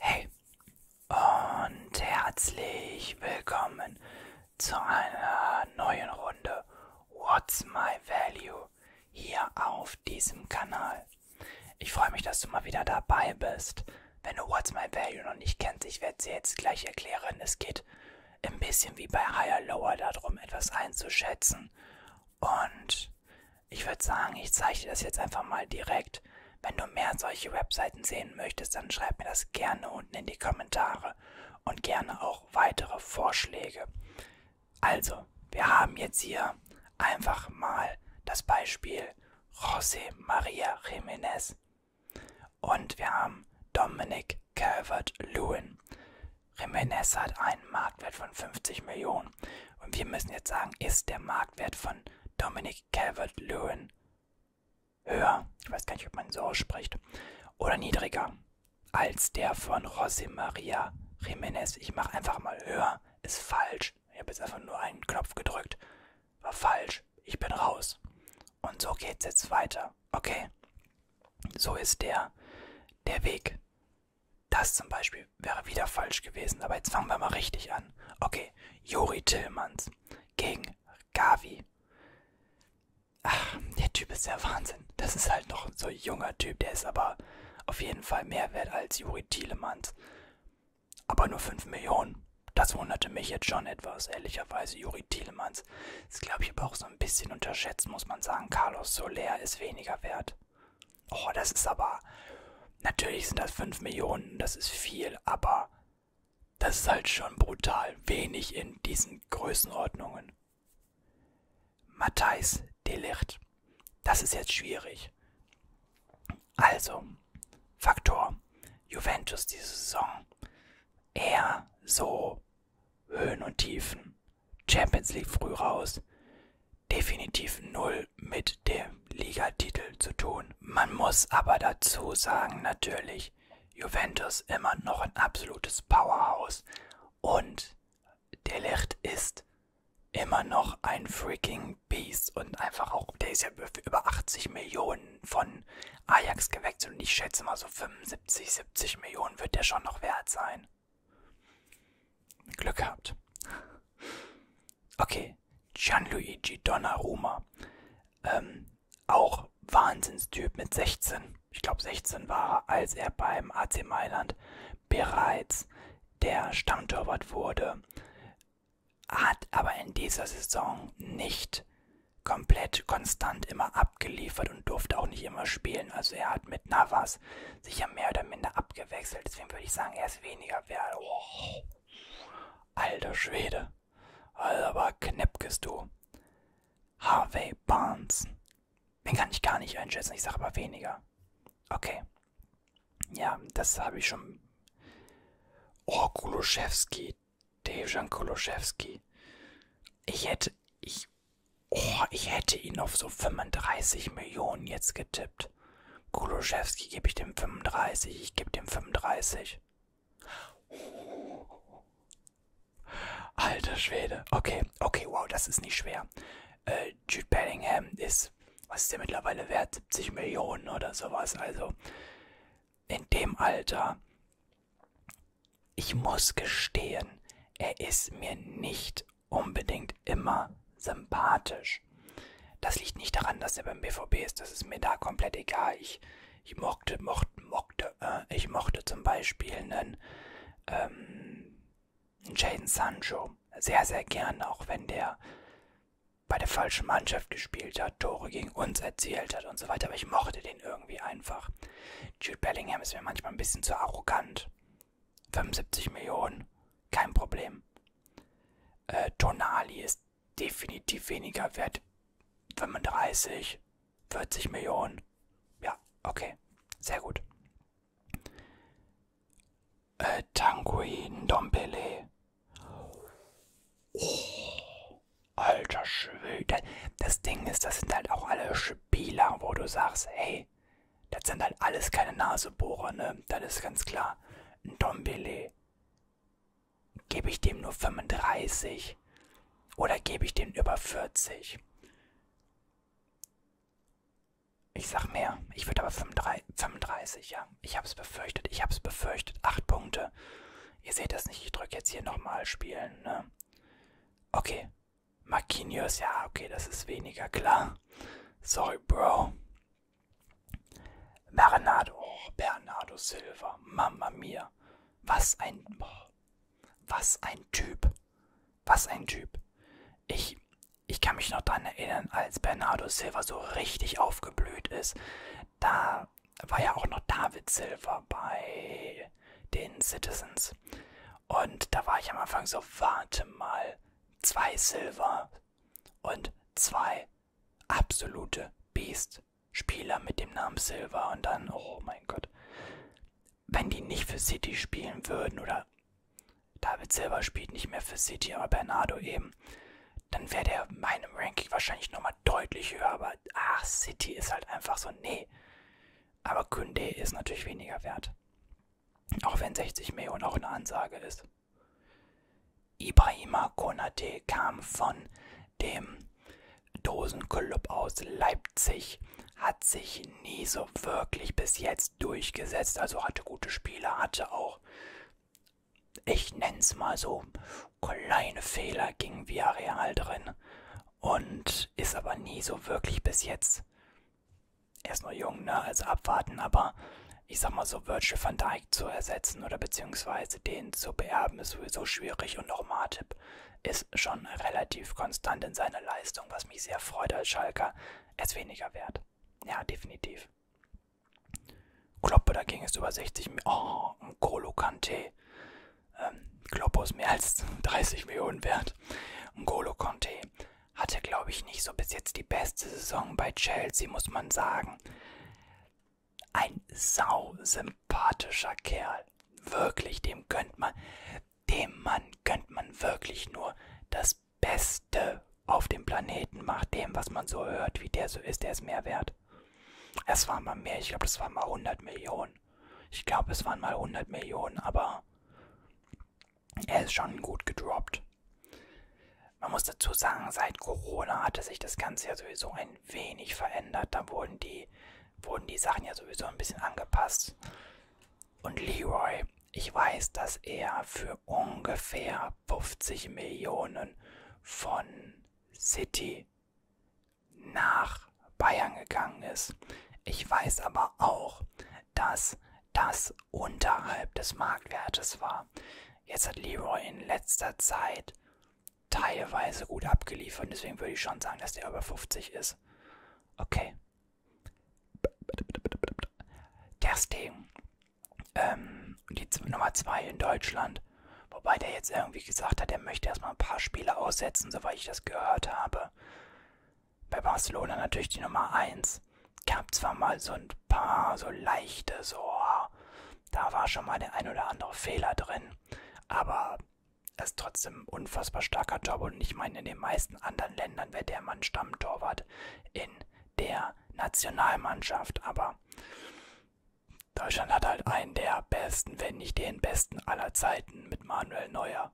Hey und herzlich willkommen zu einer neuen Runde What's My Value hier auf diesem Kanal. Ich freue mich, dass du mal wieder dabei bist. Wenn du What's My Value noch nicht kennst, ich werde sie jetzt gleich erklären. Es geht ein bisschen wie bei Higher Lower darum, etwas einzuschätzen und ich würde sagen, ich zeichne das jetzt einfach mal direkt. Wenn du mehr solche Webseiten sehen möchtest, dann schreib mir das gerne unten in die Kommentare und gerne auch weitere Vorschläge. Also, wir haben jetzt hier einfach mal das Beispiel José Maria Jiménez und wir haben Dominic Calvert-Lewin. Jimenez hat einen Marktwert von 50 Millionen. Und wir müssen jetzt sagen, ist der Marktwert von Dominic Calvert-Lewin höher, ich weiß gar nicht, ob man so ausspricht, oder niedriger als der von José María Jiménez. Ich mache einfach mal höher, ist falsch. Ich habe jetzt einfach nur einen Knopf gedrückt, war falsch, ich bin raus. Und so geht's jetzt weiter, okay? So ist der, der Weg das zum Beispiel wäre wieder falsch gewesen, aber jetzt fangen wir mal richtig an. Okay, Juri Tillmans gegen Gavi. Ach, der Typ ist ja Wahnsinn. Das ist halt noch so ein junger Typ, der ist aber auf jeden Fall mehr wert als Juri Tillmans. Aber nur 5 Millionen. Das wunderte mich jetzt schon etwas, ehrlicherweise. Juri Tielemans ist, glaube ich, aber auch so ein bisschen unterschätzt, muss man sagen. Carlos Soler ist weniger wert. Oh, das ist aber. Natürlich sind das 5 Millionen, das ist viel, aber das ist halt schon brutal wenig in diesen Größenordnungen. Matthijs Delicht. Das ist jetzt schwierig. Also, Faktor Juventus diese Saison. Eher so Höhen und Tiefen. Champions League früh raus. Definitiv null mit dem Ligatitel zu tun. Man muss aber dazu sagen, natürlich, Juventus immer noch ein absolutes Powerhouse. Und Delicht ist immer noch ein freaking Beast und einfach auch, der ist ja für über 80 Millionen von Ajax gewechselt und ich schätze mal so 75, 70 Millionen wird der schon noch wert sein. Glück gehabt. Okay, Gianluigi Donnarumma. Ähm, auch Wahnsinnstyp mit 16. Ich glaube 16 war er, als er beim AC Mailand bereits der Stammtorwart wurde. Hat aber in dieser Saison nicht komplett konstant immer abgeliefert und durfte auch nicht immer spielen. Also er hat mit Navas sich ja mehr oder minder abgewechselt. Deswegen würde ich sagen, er ist weniger wert. Oh, alter Schwede. Aber Knepkes du. Harvey Barnes. Den kann ich gar nicht einschätzen. Ich sage aber weniger. Okay. Ja, das habe ich schon. Oh, Koloszewski. Dejan Koloszewski. Ich hätte. Ich Oh, ich hätte ihn auf so 35 Millionen jetzt getippt. Koloszewski gebe ich dem 35, ich gebe dem 35. Alter Schwede. Okay, okay, wow, das ist nicht schwer. Äh, Jude Bellingham ist, was ist der mittlerweile wert? 70 Millionen oder sowas. Also in dem Alter, ich muss gestehen, er ist mir nicht unbedingt immer sympathisch. Das liegt nicht daran, dass er beim BVB ist, das ist mir da komplett egal. Ich, ich mochte, mochte, mochte, äh, ich mochte zum Beispiel einen, ähm, einen Jaden Sancho sehr, sehr gern, auch wenn der bei der falschen Mannschaft gespielt hat, Tore gegen uns erzielt hat und so weiter, aber ich mochte den irgendwie einfach. Jude Bellingham ist mir manchmal ein bisschen zu arrogant. 75 Millionen, kein Problem. Äh, Tonali ist definitiv weniger wert. 35, 40 Millionen. Ja, okay, sehr gut. Äh, Tanguin Dompele. Oh, alter Schwede. Das Ding ist, das sind halt auch alle Spieler, wo du sagst, hey, das sind halt alles keine Nasebohrer, ne? Das ist ganz klar. Ein Dombele. Gebe ich dem nur 35? Oder gebe ich dem über 40? Ich sag mehr. Ich würde aber 35, 35, ja. Ich hab's befürchtet. Ich hab's befürchtet. Acht Punkte. Ihr seht das nicht. Ich drücke jetzt hier nochmal spielen, ne? Okay. Marquinhos, ja, okay, das ist weniger klar. Sorry, Bro. Bernardo, oh, Bernardo Silva, Mamma mia. Was ein, oh, was ein Typ. Was ein Typ. Ich, ich kann mich noch daran erinnern, als Bernardo Silva so richtig aufgeblüht ist. Da war ja auch noch David Silva bei den Citizens. Und da war ich am Anfang so, warte mal, zwei Silver und zwei absolute Beast-Spieler mit dem Namen Silver. Und dann, oh mein Gott, wenn die nicht für City spielen würden oder David Silver spielt nicht mehr für City, aber Bernardo eben, dann wäre der meinem Ranking wahrscheinlich nochmal deutlich höher. Aber ach, City ist halt einfach so, nee. Aber Kunde ist natürlich weniger wert. Auch wenn 60 Millionen auch eine Ansage ist. Ibrahima Konate kam von dem Dosenclub aus Leipzig, hat sich nie so wirklich bis jetzt durchgesetzt, also hatte gute Spieler, hatte auch, ich nenn's mal so, kleine Fehler gegen Villarreal drin und ist aber nie so wirklich bis jetzt. Er ist nur jung, ne? Also abwarten, aber ich sag mal so, Virgil van Dijk zu ersetzen oder beziehungsweise den zu beerben, ist sowieso schwierig und auch Martip ist schon relativ konstant in seiner Leistung, was mich sehr freut als Schalker. Er ist weniger wert. Ja, definitiv. Kloppe dagegen ist über 60 Millionen. Oh, ein Golo Kante ähm, Globus mehr als 30 Millionen wert. N'Golo Conte hatte, glaube ich, nicht so bis jetzt die beste Saison bei Chelsea, muss man sagen. Ein sausympathischer Kerl. Wirklich, dem gönnt man, dem Mann gönnt man wirklich nur das Beste auf dem Planeten. Macht dem, was man so hört, wie der so ist, der ist mehr wert. Es waren mal mehr, ich glaube, das waren mal 100 Millionen. Ich glaube, es waren mal 100 Millionen, aber er ist schon gut gedroppt. Man muss dazu sagen, seit Corona hatte sich das Ganze ja sowieso ein wenig verändert. Da wurden die, wurden die Sachen ja sowieso ein bisschen angepasst. Und Leroy, ich weiß, dass er für ungefähr 50 Millionen von City nach Bayern gegangen ist. Ich weiß aber auch, dass das unterhalb des Marktwertes war. Jetzt hat Leroy in letzter Zeit teilweise gut abgeliefert. Deswegen würde ich schon sagen, dass der über 50 ist. Okay. Das Ding. Ähm, die Nummer 2 in Deutschland Wobei der jetzt irgendwie gesagt hat, er möchte erstmal ein paar Spiele aussetzen, soweit ich das gehört habe. Bei Barcelona natürlich die Nummer 1. Gab zwar mal so ein paar so leichte, so, ah, da war schon mal der ein oder andere Fehler drin, aber er ist trotzdem ein unfassbar starker Job und ich meine, in den meisten anderen Ländern wäre der Mann Stammtorwart in der Nationalmannschaft, aber Deutschland hat halt einen der besten, wenn nicht den besten aller Zeiten mit Manuel Neuer.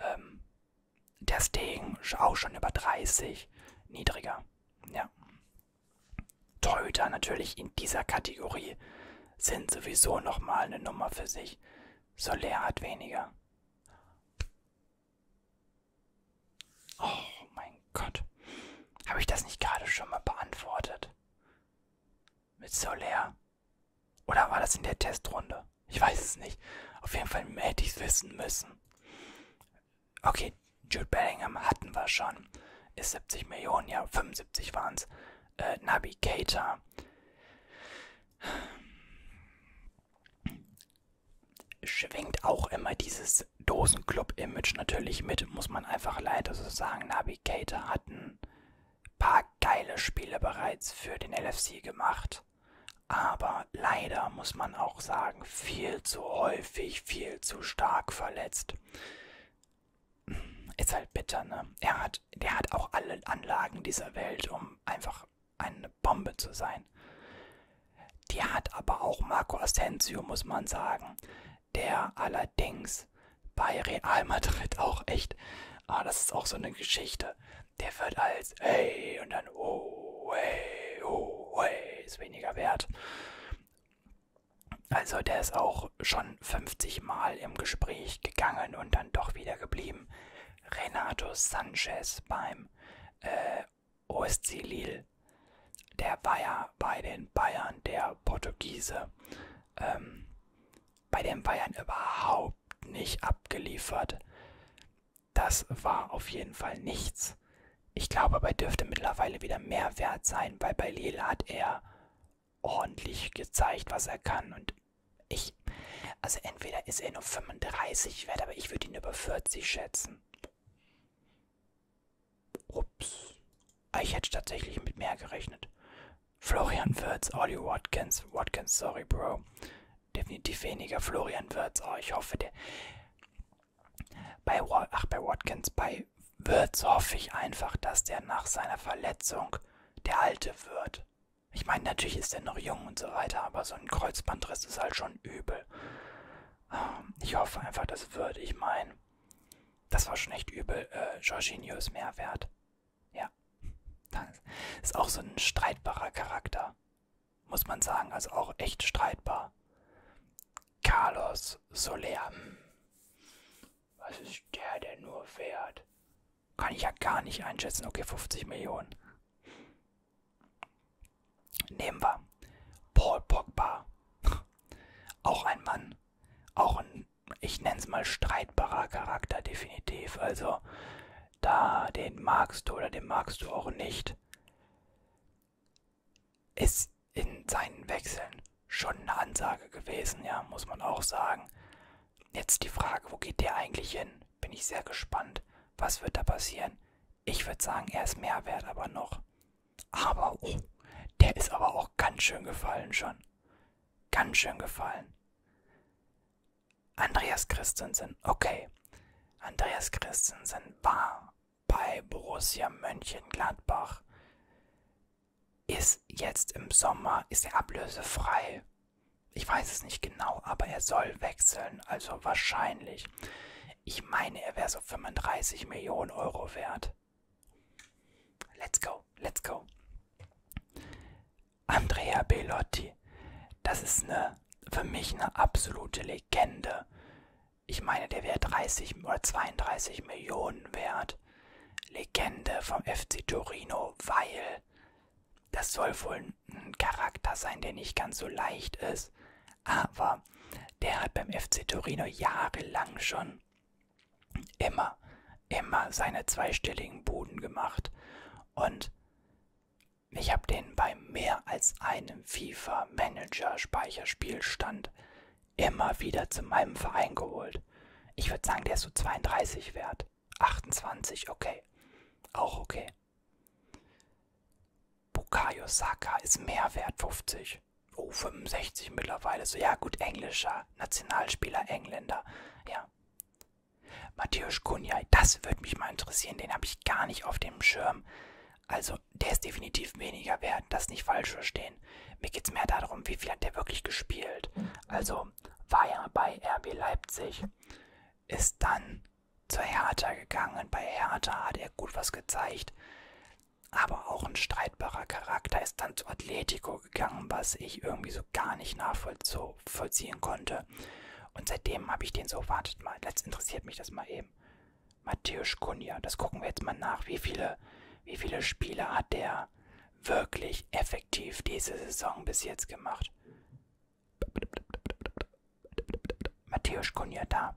Ähm, der Stegen auch schon über 30 niedriger. Ja. Torhüter natürlich in dieser Kategorie sind sowieso nochmal eine Nummer für sich. Soler hat weniger. Oh mein Gott. Habe ich das nicht gerade schon mal beantwortet? Mit Soler. Oder war das in der Testrunde? Ich weiß es nicht. Auf jeden Fall hätte ich es wissen müssen. Okay, Jude Bellingham hatten wir schon. Ist 70 Millionen, ja, 75 waren es. Äh, Nabi Keita. Schwingt auch immer dieses Dosenclub-Image natürlich mit, muss man einfach leider so sagen. Nabi Keita hat einen paar geile Spiele bereits für den LFC gemacht. Aber leider muss man auch sagen, viel zu häufig, viel zu stark verletzt. Ist halt bitter, ne? Er hat, der hat auch alle Anlagen dieser Welt, um einfach eine Bombe zu sein. Die hat aber auch Marco Asensio, muss man sagen, der allerdings ist bei Real Madrid auch echt. Ah, das ist auch so eine Geschichte. Der wird als hey und dann oh, hey, oh, hey, ist weniger wert. Also der ist auch schon 50 Mal im Gespräch gegangen und dann doch wieder geblieben. Renato Sanchez beim äh, OSC Lille. Der war ja bei den Bayern der Portugiese ähm, bei den Bayern überhaupt nicht abgeliefert. Das war auf jeden Fall nichts. Ich glaube, bei dürfte mittlerweile wieder mehr wert sein, weil bei Lille hat er ordentlich gezeigt, was er kann. Und ich, also entweder ist er nur 35 wert, aber ich würde ihn über 40 schätzen. Ups. Ah, ich hätte tatsächlich mit mehr gerechnet. Florian Wirtz, Audio Watkins. Watkins, sorry, Bro. Definitiv weniger Florian Wirtz. Oh, ich hoffe, der. Bei, ach, bei Watkins, bei Wirtz hoffe ich einfach, dass der nach seiner Verletzung der Alte wird. Ich meine, natürlich ist er noch jung und so weiter, aber so ein Kreuzbandriss ist halt schon übel. Ähm, ich hoffe einfach, das wird. Ich meine, das war schon echt übel. Äh, Jorginho ist mehr wert. Ja. Das ist auch so ein streitbarer Charakter. Muss man sagen. Also auch echt streitbar. Carlos Soler. Hm. Was ist der denn nur wert? Kann ich ja gar nicht einschätzen. Okay, 50 Millionen. Nehmen wir. Paul Pogba. Auch ein Mann, auch ein, ich nenne es mal, streitbarer Charakter, definitiv. Also, da, den magst du oder den magst du auch nicht, ist in seinen Wechseln schon eine Ansage gewesen, ja, muss man auch sagen. Jetzt die Frage, wo geht der eigentlich hin? Bin ich sehr gespannt. Was wird da passieren? Ich würde sagen, er ist mehr wert, aber noch. Aber, oh, der ist aber auch ganz schön gefallen schon. Ganz schön gefallen. Andreas Christensen, okay. Andreas Christensen war bei Borussia Mönchengladbach. Ist jetzt im Sommer, ist er ablösefrei. Ich weiß es nicht genau, aber er soll wechseln, also wahrscheinlich. Ich meine, er wäre so 35 Millionen Euro wert. Let's go, let's go. Andrea Bellotti, das ist eine, für mich eine absolute Legende. Ich meine, der wäre 30 oder 32 Millionen wert. Legende vom FC Torino, weil das soll wohl ein Charakter sein, der nicht ganz so leicht ist aber der hat beim FC Torino jahrelang schon immer, immer seine zweistelligen Buden gemacht. Und ich habe den bei mehr als einem FIFA-Manager-Speicherspielstand immer wieder zu meinem Verein geholt. Ich würde sagen, der ist so 32 wert. 28, okay. Auch okay. Bukayo Saka ist mehr wert, 50. Oh, 65 mittlerweile. So, ja gut, englischer Nationalspieler, Engländer. Ja. Matthäus Kunjai, das würde mich mal interessieren. Den habe ich gar nicht auf dem Schirm. Also, der ist definitiv weniger wert. Das nicht falsch verstehen. Mir geht es mehr darum, wie viel hat der wirklich gespielt. Also, war ja bei RB Leipzig. Ist dann zur Hertha gegangen. Bei Hertha hat er gut was gezeigt aber auch ein streitbarer Charakter, ist dann zu Atletico gegangen, was ich irgendwie so gar nicht nachvollziehen konnte. Und seitdem habe ich den so, wartet mal, jetzt interessiert mich das mal eben. Matthäus Kunja, das gucken wir jetzt mal nach, wie viele, wie viele Spiele hat der wirklich effektiv diese Saison bis jetzt gemacht. Matthäus Kunja da.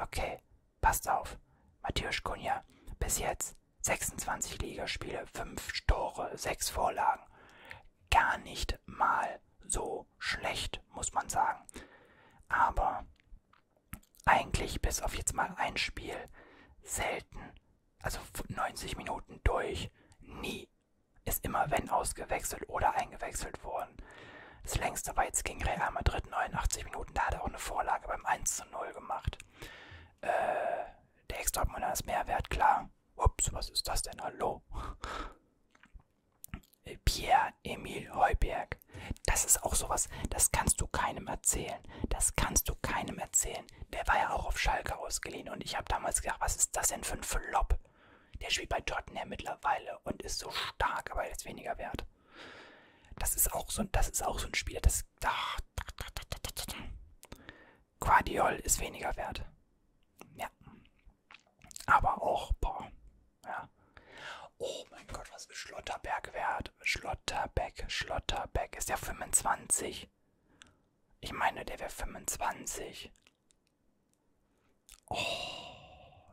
Okay, Passt auf, Matthäus Kunja, bis jetzt 26 Ligaspiele, 5 Tore, 6 Vorlagen. Gar nicht mal so schlecht, muss man sagen. Aber eigentlich bis auf jetzt mal ein Spiel selten, also 90 Minuten durch, nie. Ist immer wenn ausgewechselt oder eingewechselt worden. Das längste war jetzt gegen Real Madrid 89 Minuten. Da hat er auch eine Vorlage beim 1 zu 0 gemacht. Äh, der extra ist Mehrwert, klar. Ups, was ist das denn? Hallo? Pierre-Emil Heuberg. Das ist auch sowas, das kannst du keinem erzählen. Das kannst du keinem erzählen. Der war ja auch auf Schalke ausgeliehen und ich habe damals gedacht, was ist das denn für ein Flop? Der spielt bei Tottenham mittlerweile und ist so stark, aber jetzt weniger wert. Das ist auch so, das ist auch so ein Spieler, das. Ach, Guardiol ist weniger wert. Ja. Aber auch, boah. Ja. Oh mein Gott, was ist Schlotterberg wert? Schlotterbeck, Schlotterbeck. Ist der 25? Ich meine, der wäre 25. Oh,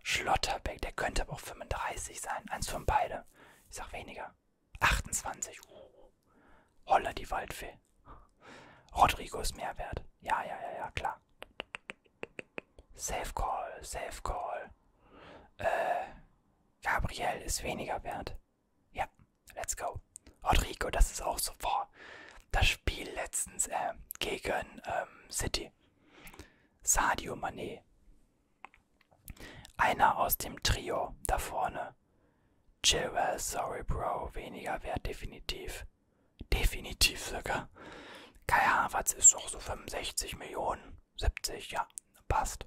Schlotterbeck, der könnte aber auch 35 sein. Eins von beide. Ich sag weniger. 28. Uh. Holla die Waldfee. Rodrigo ist mehr wert. Ja, ja, ja, ja, klar. Safe Call, Safe Call. Äh, Gabriel ist weniger wert. Ja, let's go. Rodrigo, das ist auch so, boah, das Spiel letztens äh, gegen ähm, City. Sadio Mané. Einer aus dem Trio da vorne. Chilwell, sorry Bro, weniger wert definitiv. Definitiv sogar. Kai Havertz ist doch so 65 Millionen. 70, ja, passt.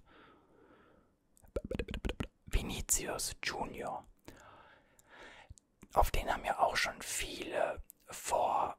Vinicius Junior. Auf den haben ja auch schon viele vor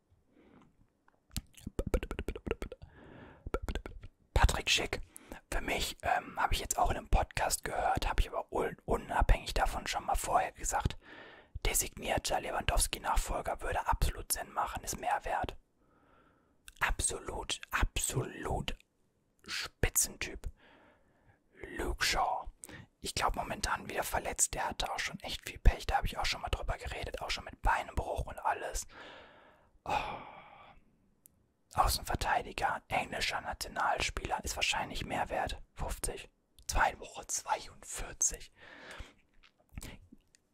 Patrick Schick. Für mich ähm, habe ich jetzt auch in einem Podcast gehört, habe ich aber unabhängig davon schon mal vorher gesagt, designierter Lewandowski-Nachfolger würde absolut Sinn machen, ist mehr wert. Absolut, absolut Spitzentyp. Luke Shaw. Ich glaube momentan wieder verletzt, der hatte auch schon echt viel Pech. Da habe ich auch schon mal drüber geredet, auch schon mit Beinbruch und alles. Oh. Außenverteidiger, englischer Nationalspieler ist wahrscheinlich mehr wert. 50. Zwei Woche 42.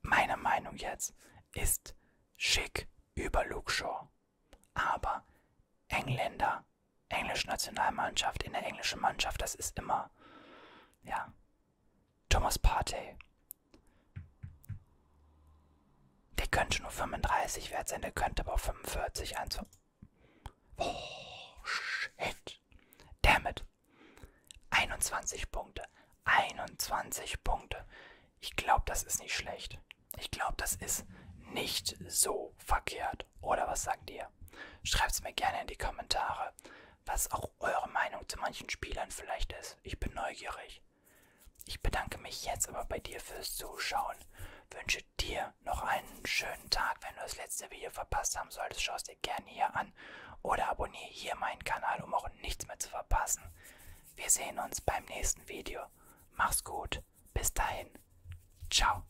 Meine Meinung jetzt ist schick über Luke Shaw. Aber Engländer, englische Nationalmannschaft in der englischen Mannschaft, das ist immer, ja, Thomas Partey. Der könnte nur 35 wert sein, der könnte aber auch 45 eins. Oh, shit. Damn it. 21 Punkte. 21 Punkte. Ich glaube, das ist nicht schlecht. Ich glaube, das ist nicht so verkehrt. Oder was sagt ihr? Schreibt es mir gerne in die Kommentare was auch eure Meinung zu manchen Spielern vielleicht ist. Ich bin neugierig. Ich bedanke mich jetzt aber bei dir fürs Zuschauen. Wünsche dir noch einen schönen Tag. Wenn du das letzte Video verpasst haben solltest, schau es dir gerne hier an oder abonniere hier meinen Kanal, um auch nichts mehr zu verpassen. Wir sehen uns beim nächsten Video. Mach's gut. Bis dahin. Ciao.